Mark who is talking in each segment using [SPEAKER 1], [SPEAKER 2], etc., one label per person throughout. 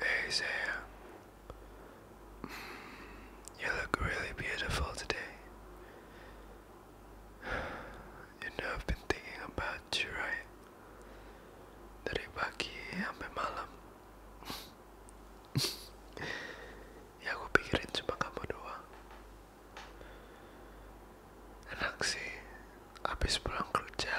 [SPEAKER 1] Hey Sam, you look really beautiful today. You know I've been thinking about you, right? Dari pagi sampai malam. ya aku pikirin cuma kamu Enak sih, habis pulang kerja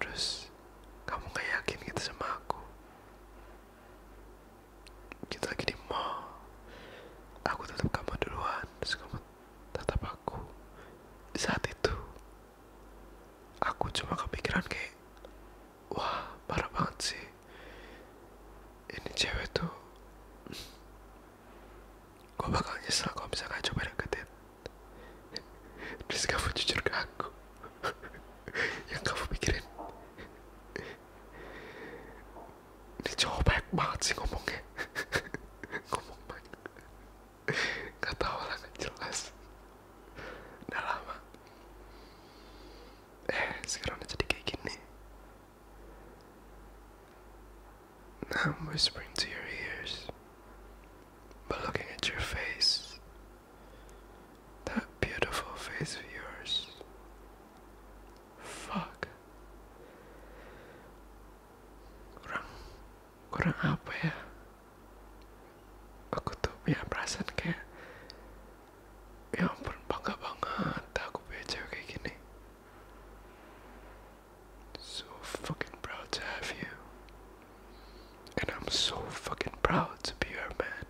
[SPEAKER 1] terus kamu gak yakin gitu sama aku kita lagi di mall aku tetap kamu duluan terus kamu tatap aku di saat itu aku cuma kepikiran kayak wah parah banget sih ini cewek tuh gua bakal nyesel kalau bisa nggak coba deketin terus kamu jujur ke aku yang kamu pikirin ini cowok baik banget sih ngomongnya ngomong banyak nggak tahu lah nggak jelas udah lama eh sekarang udah jadi kayak gini Nah I'm whispering to your ears But looking at your face, that beautiful face of yours. Fuck. Kurang, kurang apa ya? Aku tuh punya perasaan kayak, ya ampun bangga banget aku punya kayak gini. So fucking proud to have you. And I'm so fucking proud to be her man.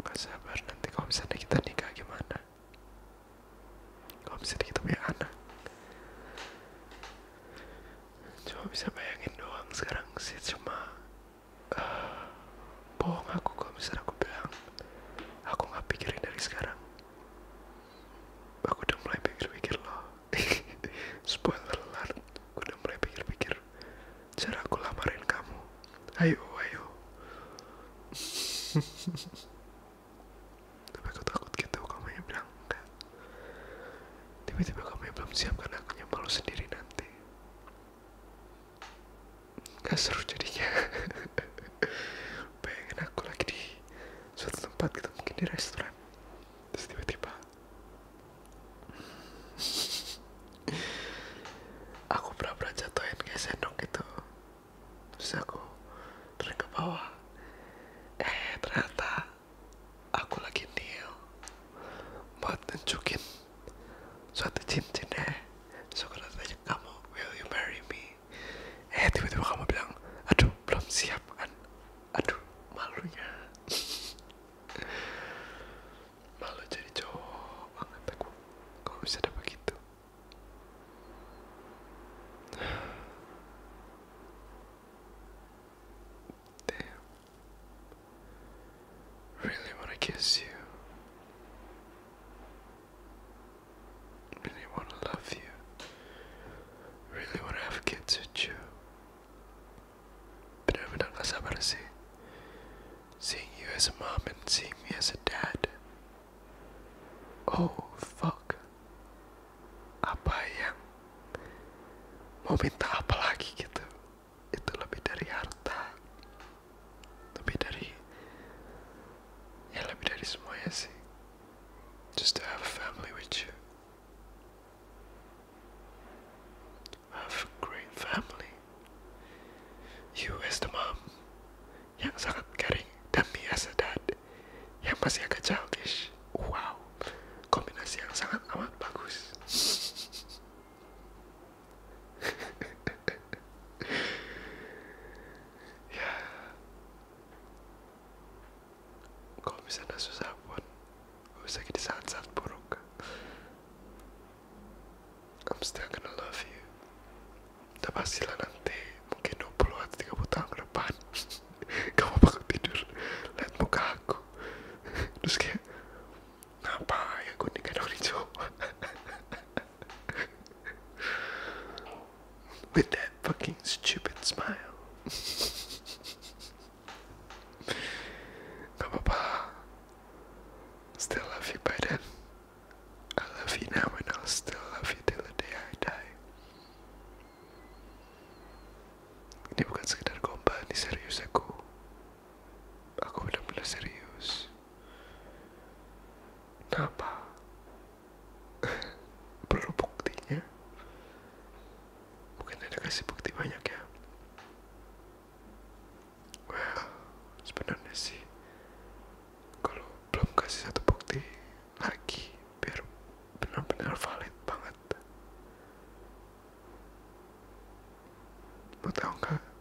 [SPEAKER 1] Gak sabar nanti kalau misalnya kita nikah gimana? Kalau misalnya kita punya anak. Cuma bisa bayangin doang sekarang sih cuma uh, bohong aku kok bisa aku bilang aku nggak pikirin dari sekarang aku udah mulai pikir-pikir loh spoiler alert aku udah mulai pikir-pikir cara aku lamarin kamu ayo ayo tapi aku takut gitu kamu yang bilang enggak tiba-tiba kamu yang belum siap karena aku nyembal sendiri nanti gak seru jadinya pengen aku lagi di suatu tempat gitu mungkin di restoran terus tiba-tiba aku pura-pura jatuhin kayak sendok gitu terus aku turun ke bawah eh ternyata aku lagi kneel buat nunjukin suatu cincinnya so kalau tanya kamu will you marry me eh tiba-tiba kamu bilang aduh belum siap kan aduh malunya malu jadi cowok banget aku kok bisa dapat gitu Damn. Really want to kiss you. Really want to love you. Really want to have kids with you. Pero me dan las así. Seeing you as a mom and seeing me as a dad. Oh fuck. Apa yang mau minta apa lagi gitu? itu lebih dari harta lebih dari ya lebih dari semuanya sih just to have a family with you have a great family you as the mom yang sangat caring dan me as a dad yang masih agak childish wow kombinasi yang sangat amat bagus ya kalau misalnya susah pun bisa di saat-saat buruk I'm still gonna love you udah pastilah nanti mungkin 20 atau 30 tahun ke depan kamu bakal tidur lihat muka aku terus kayak Na pá, eu quando ninguém não With that fucking stupid smile. papa. Still love you by then. I love you now and I'll still love you till the day I die. Ini bukan sekedar gombal, ini serius aku. Aku benar-benar serius. Kenapa? Perlu buktinya? Mungkin ada kasih bukti banyak ya. Well, sebenarnya sih, kalau belum kasih satu bukti lagi, biar benar-benar valid banget. Mau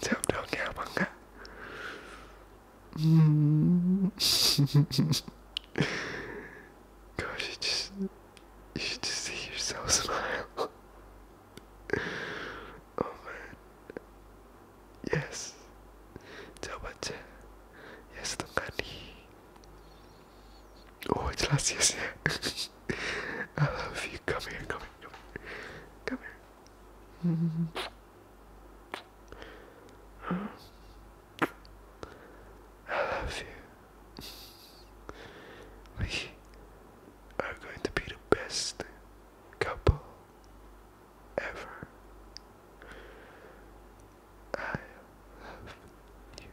[SPEAKER 1] 잠정이야 뭔가 음 gosh you just you should just see yourself smile oh man yes 저 번째 yes 동간이 오, gracias. I love you. Come here, come here, come here. Come here. I love you. We are going to be the best couple ever. I love you.